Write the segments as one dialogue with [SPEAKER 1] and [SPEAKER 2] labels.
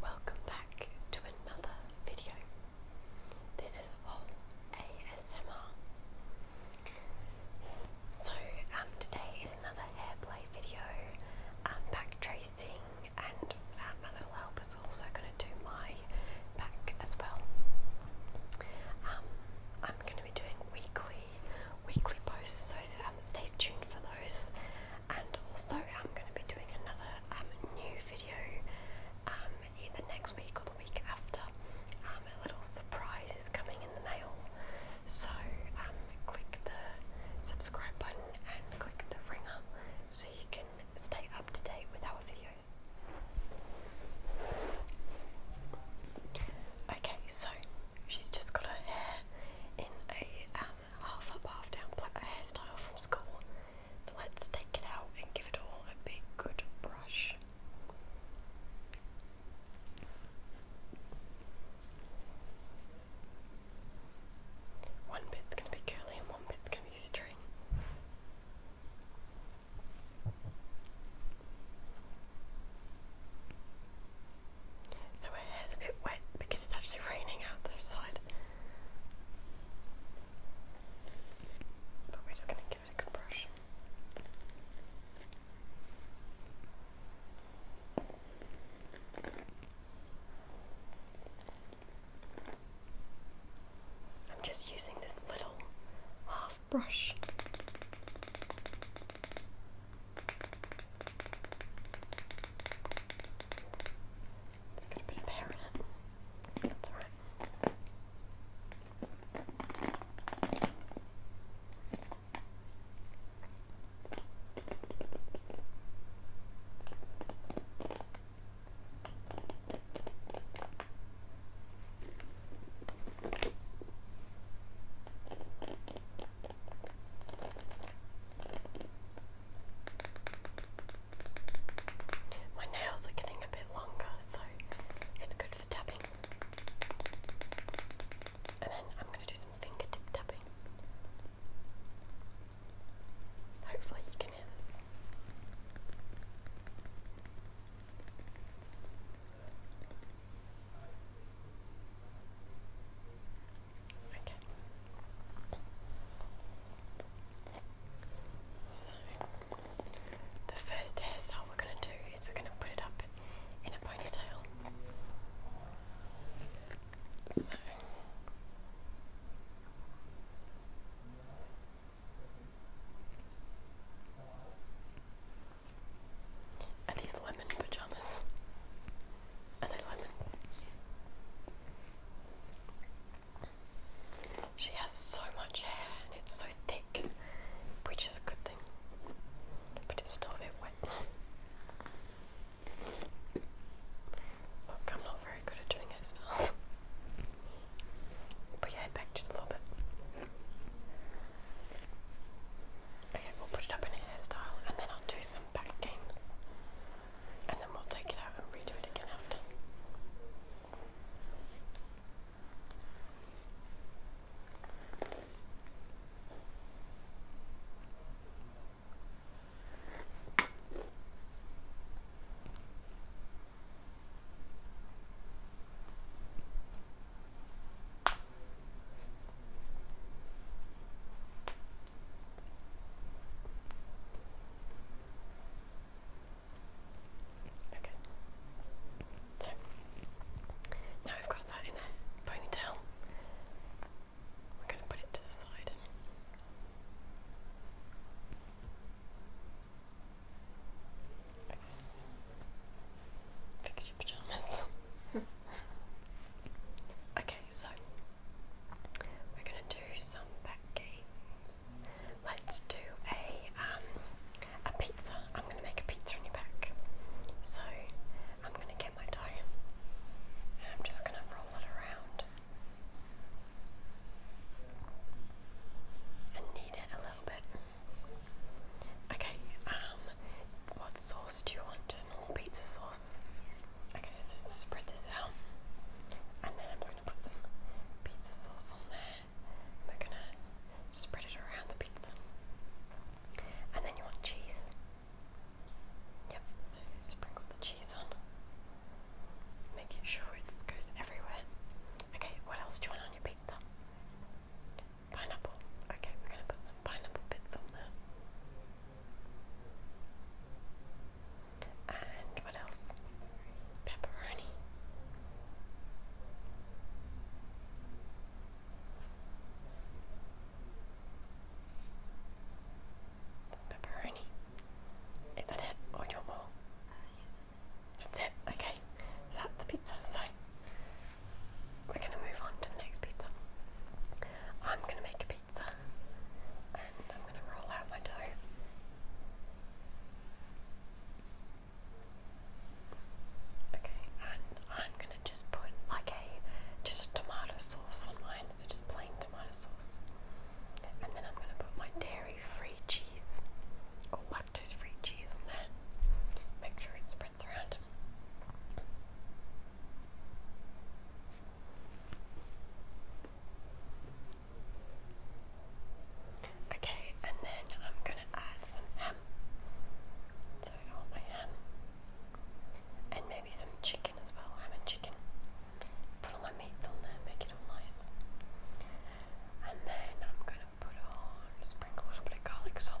[SPEAKER 1] Welcome back to another video. This is all ASMR. So um, today is another hair play video, um, back tracing, and um, my little is also going to do my back as well. Um, I'm going to be doing weekly, weekly posts, so stay tuned for those and also I'm going to be doing another um, new video um, in the next week or the week after. Um, a little surprise is coming in the mail, so click the subscribe button and click the ringer so you can stay up to date with our videos. Okay, so she's just got her hair in a half up, half down black hairstyle from school. So let's take it out and give it all a big good brush. One bit's going to be curly and one bit's going to be straight. So my hair's a bit wet because it's actually raining out the side. But we're just going to give it a good brush. I'm just using this little half brush. It's got a bit of That's alright. My nails are getting a bit longer, so it's good for tapping. And then I'm going to do some fingertip tapping. Hopefully, you can hear this. Okay. So, the first hairstyle we're going to do is we're going to put it up in a ponytail. So, are these lemon pajamas? and a lemon. She has so much hair and it's so thick, which is a good thing, but it's still a bit wet. I'm not very good at doing hairstyles. Put your head back just a little bit. Okay, we'll put it up in a hairstyle and then I'll do some back games and then we'll take it out and redo it again after. Okay. So now I've got that in a ponytail. We're going to put it to the side. Fix your pajamas. I Okay, so we're gonna do some back games. Let's do a um, a pizza. I'm gonna make a pizza in your back. So I'm gonna get my dough and I'm just gonna roll it around and knead it a little bit. Okay, um what sauce do you want? Just normal pizza sauce sauce. Okay, so spread this out, and then I'm just gonna put some pizza sauce on there. And we're gonna spread it around the pizza, and then you want cheese. Yep, so sprinkle the cheese on, making sure it goes everywhere. Okay, what else do you want on your pizza? Pineapple. Okay, we're gonna put some pineapple bits on there. And what else? Pepperoni. Pepperoni. Is that it? Or do you uh, that's it. okay. that's the pizza. So we're gonna move on to the next pizza. I'm gonna make a pizza and I'm gonna roll out my dough. Okay, and I'm gonna just put like a just a tomato sauce on mine, so just plain tomato sauce. And then I'm gonna put my dairy-free cheese or lactose-free cheese on there. Make sure it's spread footprints around Okay, and then I'm gonna add some ham. So I want my ham. And maybe some chicken as well, ham and chicken. Put all my meats on there, make it all nice. And then I'm gonna put a little bit of garlic salt.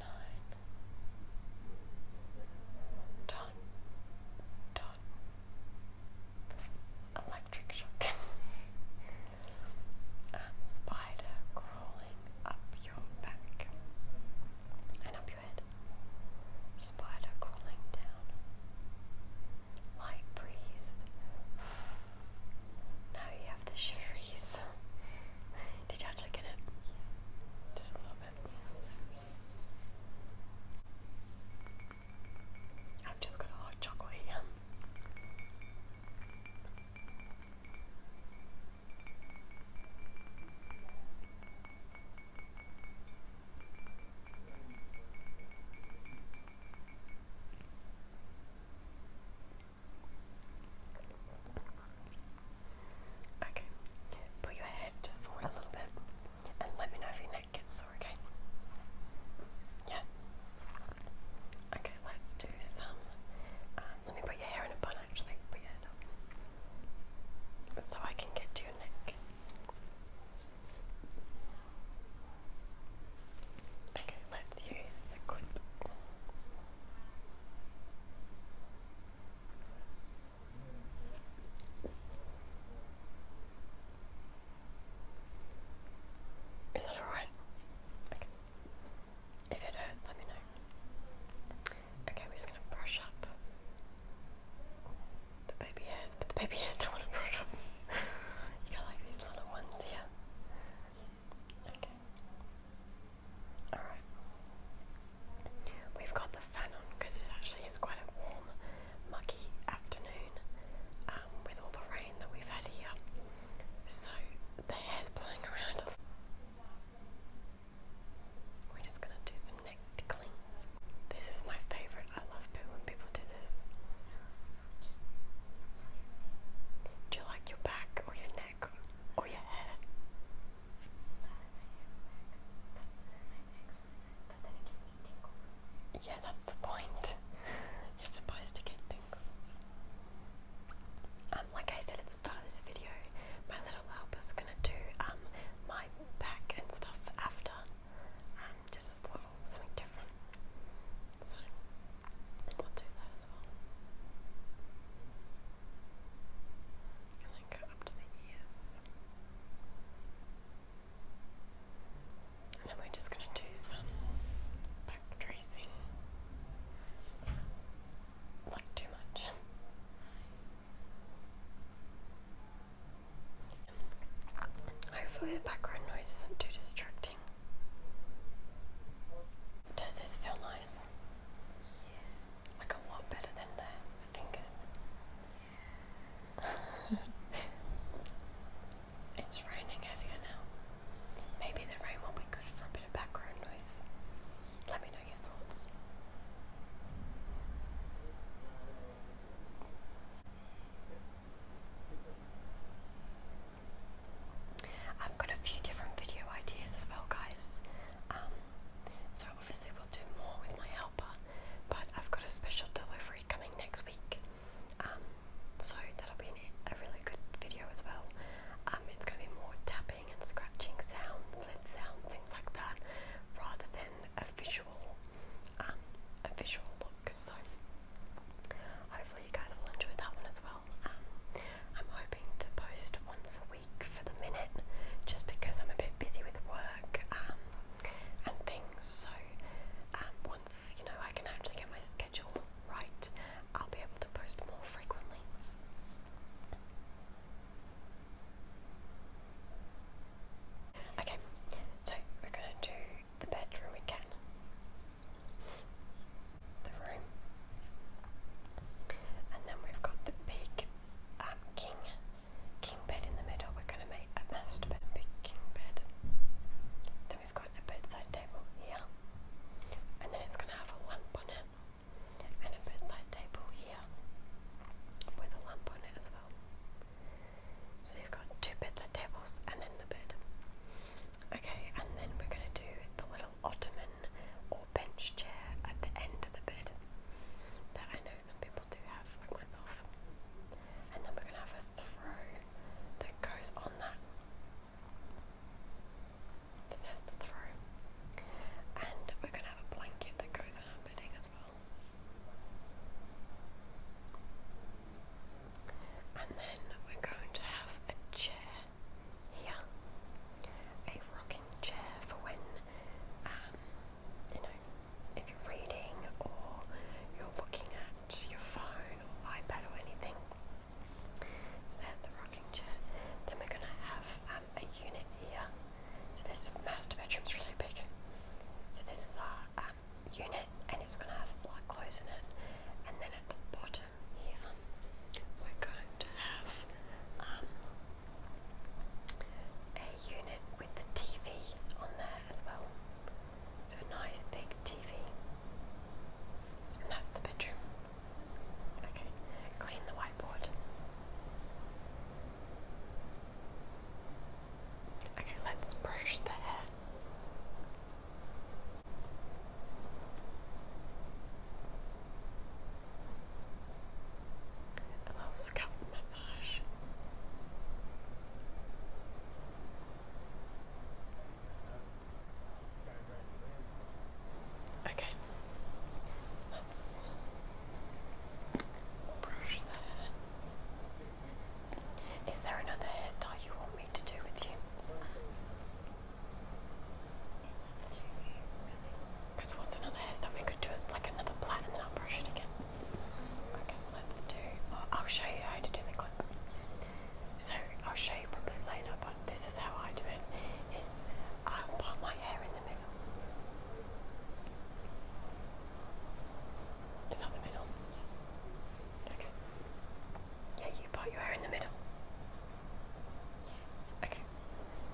[SPEAKER 1] nine, dot, dot, electric shock. Um, spider crawling up your back and up your head. Spider crawling down. Light breeze. Now you have the shiveries. Did you actually get it? Just a little bit. I've just got a hot chocolate Okay, put your head just forward a little bit and let me know if your neck gets sore, okay? Yeah? Okay, let's do some. Um, let me put your hair in a bun actually. Put your head up. So I can get to your neck. Okay, let's use the clip. Is that alright? Okay. If it hurts, let me know. Okay, we're just gonna brush up the baby hairs, but the baby hairs don't want to brush up. you got like these little ones here. Okay. Alright. We've got the fan on because it actually is quite a warm, muggy afternoon um, with all the rain that we've had here. So the hair's blowing around. We're just going to do some neck tickling. This is my favourite. I love it when people do this. Do you like your back or your neck or your head? Yeah, that's the point. You're supposed to get tingles. Um, like I said at the start of this video, my little is gonna do um my back and stuff after. Um, just a little something different. So I'll do that as well and then we're just going to do some back tracing. Like too much. Hopefully the background noise isn't too distracting. Does this feel nice? Like a lot better than the fingers. it's raining heavier now. Maybe the rain will be good for a bit of background noise. Let me know your thoughts. I've got a few different video ideas as well, guys. Um, so obviously we'll do more with my helper, but I've got a special delivery coming next week. Um, so that'll be a really good video as well. Um, it's going to be more tapping and scratching sounds, lid sounds, things like that, rather than a visual, um, a visual look. So hopefully you guys will enjoy that one as well. I'm hoping to post once a week for the minute, just because I'm a bit busy with work um, and things. So um, once you know I can actually get my schedule right, I'll be able to post more frequently. Okay, so we're gonna do the bedroom again. The room. And then we've got the big um, king king bed in the middle. We're going to make a master bed, a big king bed. Then we've got a bedside table here, and then it's going to have a lamp on it, and a bedside table here with a lamp on it as well. So you've got two bedside tables and then the bed. Okay, and then we're going to do the little ottoman or bench chair at the end of the bed that I know some people do have, like myself. And then we're going to have a throne that goes on that. So there's the throne. And we're going to have a blanket that goes on our bedding as well. And then we're going to have a chair here. A rocking chair for when, um, you know, if you're reading or you're looking at your phone or iPad or anything. So there's the rocking chair. Then we're going to have um, a unit here. So this master bedroom's really big. So this is our um, unit and it's going to have a lot of clothes in it. And then at the bottom here, we're going to have um, a unit with the TV on there as well. So a nice big TV. And that's the bedroom. Okay, clean the whiteboard. Okay, let's brush the hair. A little scalp massage. Okay, let's brush that in. Is there another hairstyle you want me to do with you? Because what's another hairstyle? We could do like another plait and then I'll brush it again. Okay, let's do. Oh, I'll show you how to do the clip. So I'll show you probably later, but this is how I do it. Is I part my hair in the middle. Is that the middle? Okay. Yeah, you part your hair in the middle. Okay.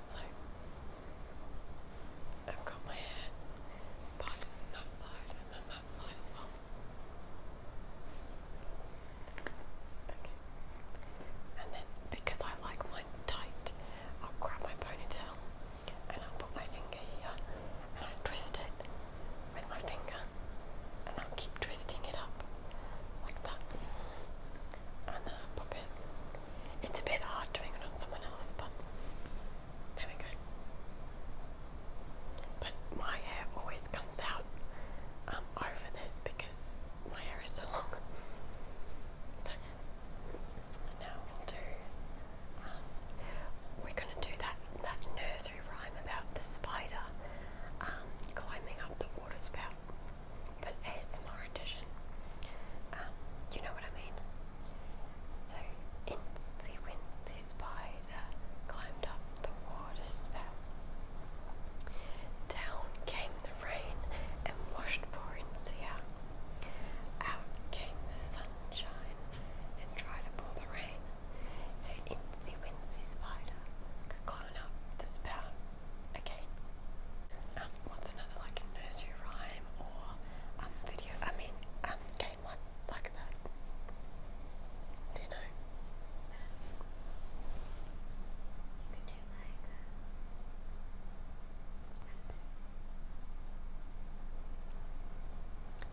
[SPEAKER 1] So I've got my hair parted in that side and then that side as well. Okay. And then because I like mine tight, I'll grab my ponytail and I'll put my finger here and I'll twist it with my finger and I'll keep twisting it up like that, and then I'll pop it. It's a bit hard doing it on someone else, but there we go. But my hair always comes out um, over this because my hair is so long. So now we'll do. Um, we're gonna do that that nursery rhyme about the spider um, climbing up the water spout but ASMR edition. Um, you know what I mean? So, Incy Wincy Spider climbed up the water spout. Down came the rain and washed poor Incy out. came the sunshine and tried to pull the rain. So, Incy Wincy Spider could climb up the spout. Okay. Um, what's another like nursery rhyme or um video? I mean, um, game one like that. Do you know? You could do like.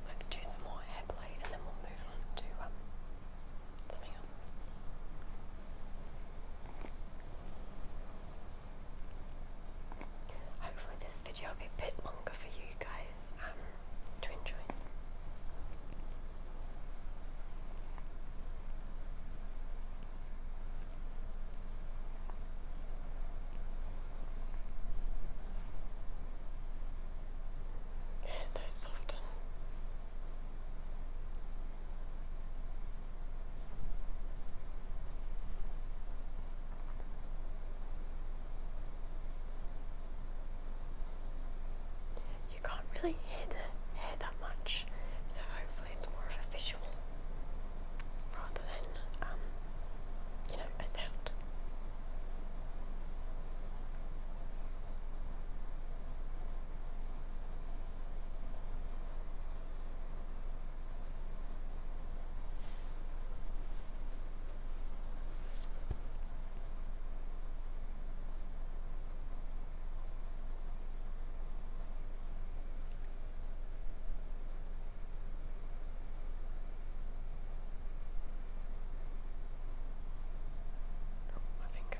[SPEAKER 1] Let's do some more hair play and then we'll move on to um Hopefully this video will be a bit longer for you guys um, to enjoy. It's so soft. You can't really hear the hair that much, so hopefully it's more of a visual rather than, um, you know, a sound. Oh, my finger.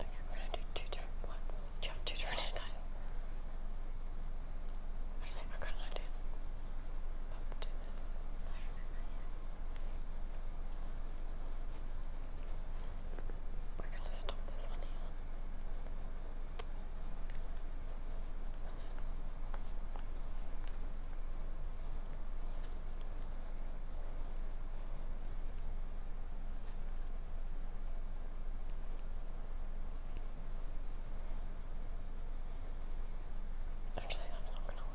[SPEAKER 1] Okay, we're gonna do two different bloods. You have two different hair i got an idea. Let's do this. We're gonna stop this one here. Actually, that's not gonna work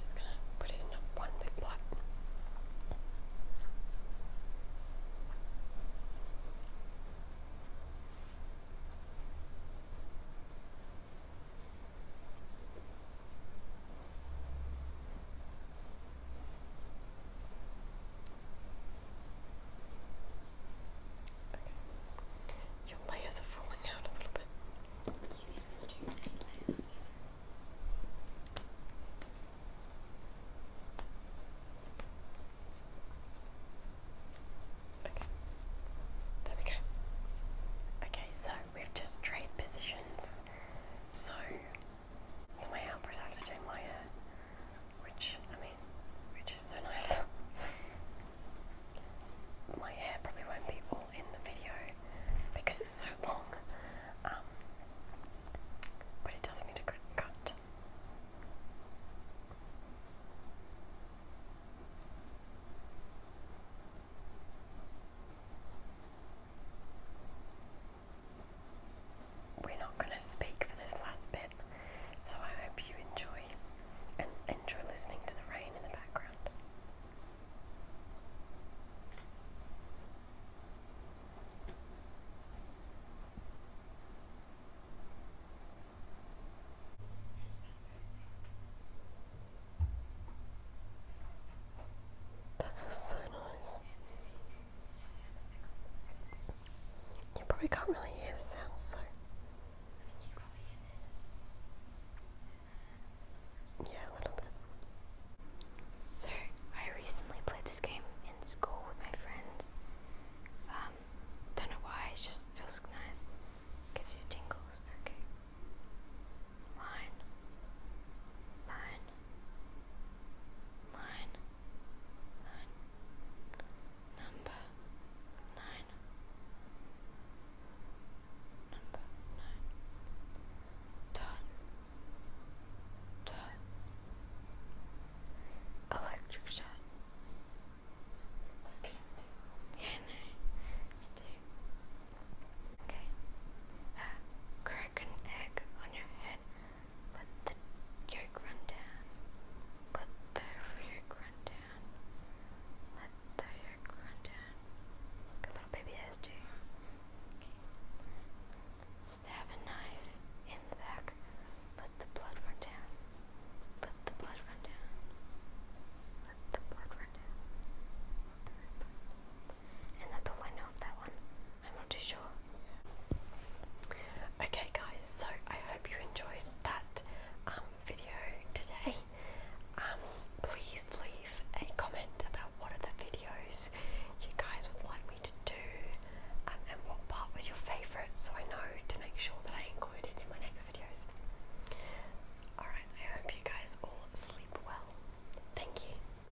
[SPEAKER 1] just gonna put it in one big pot. Your layers are falling out a little bit. Okay, there we go. Okay, so we've just trade positions. So my helper's actually doing my hair, which, I mean, which is so nice. my hair probably won't be all in the video because it's so long, um, but it does need a good cut we're not going to speak for this last bit, so I hope you enjoy and enjoy listening to the rain in the background. That feels so nice. You probably can't really hear the sound, so. Yeah, a little bit. So, I recently played this game in school with my friends. Um, don't know why, it just feels nice. Gives you tingles, okay. Line. Line nine, nine, number nine, number nine, dot, dot, electric shock. Okay. Yeah, Okay. crack an egg on your head let the yolk run down. Let the yolk run down. Let the yolk run down. Like little baby has to. Okay. Stab a knife in the back. Let the blood run down. Let the blood run down. Let the blood run down. And that's all I of that one. I'm not too sure. Okay, guys, so I hope you enjoyed that um, video today. Um, please leave a comment about what are videos you guys would like me to do um, and what part was your favourite so I know to make sure that I include it in my next videos. Alright, I hope you guys all sleep well. Thank you.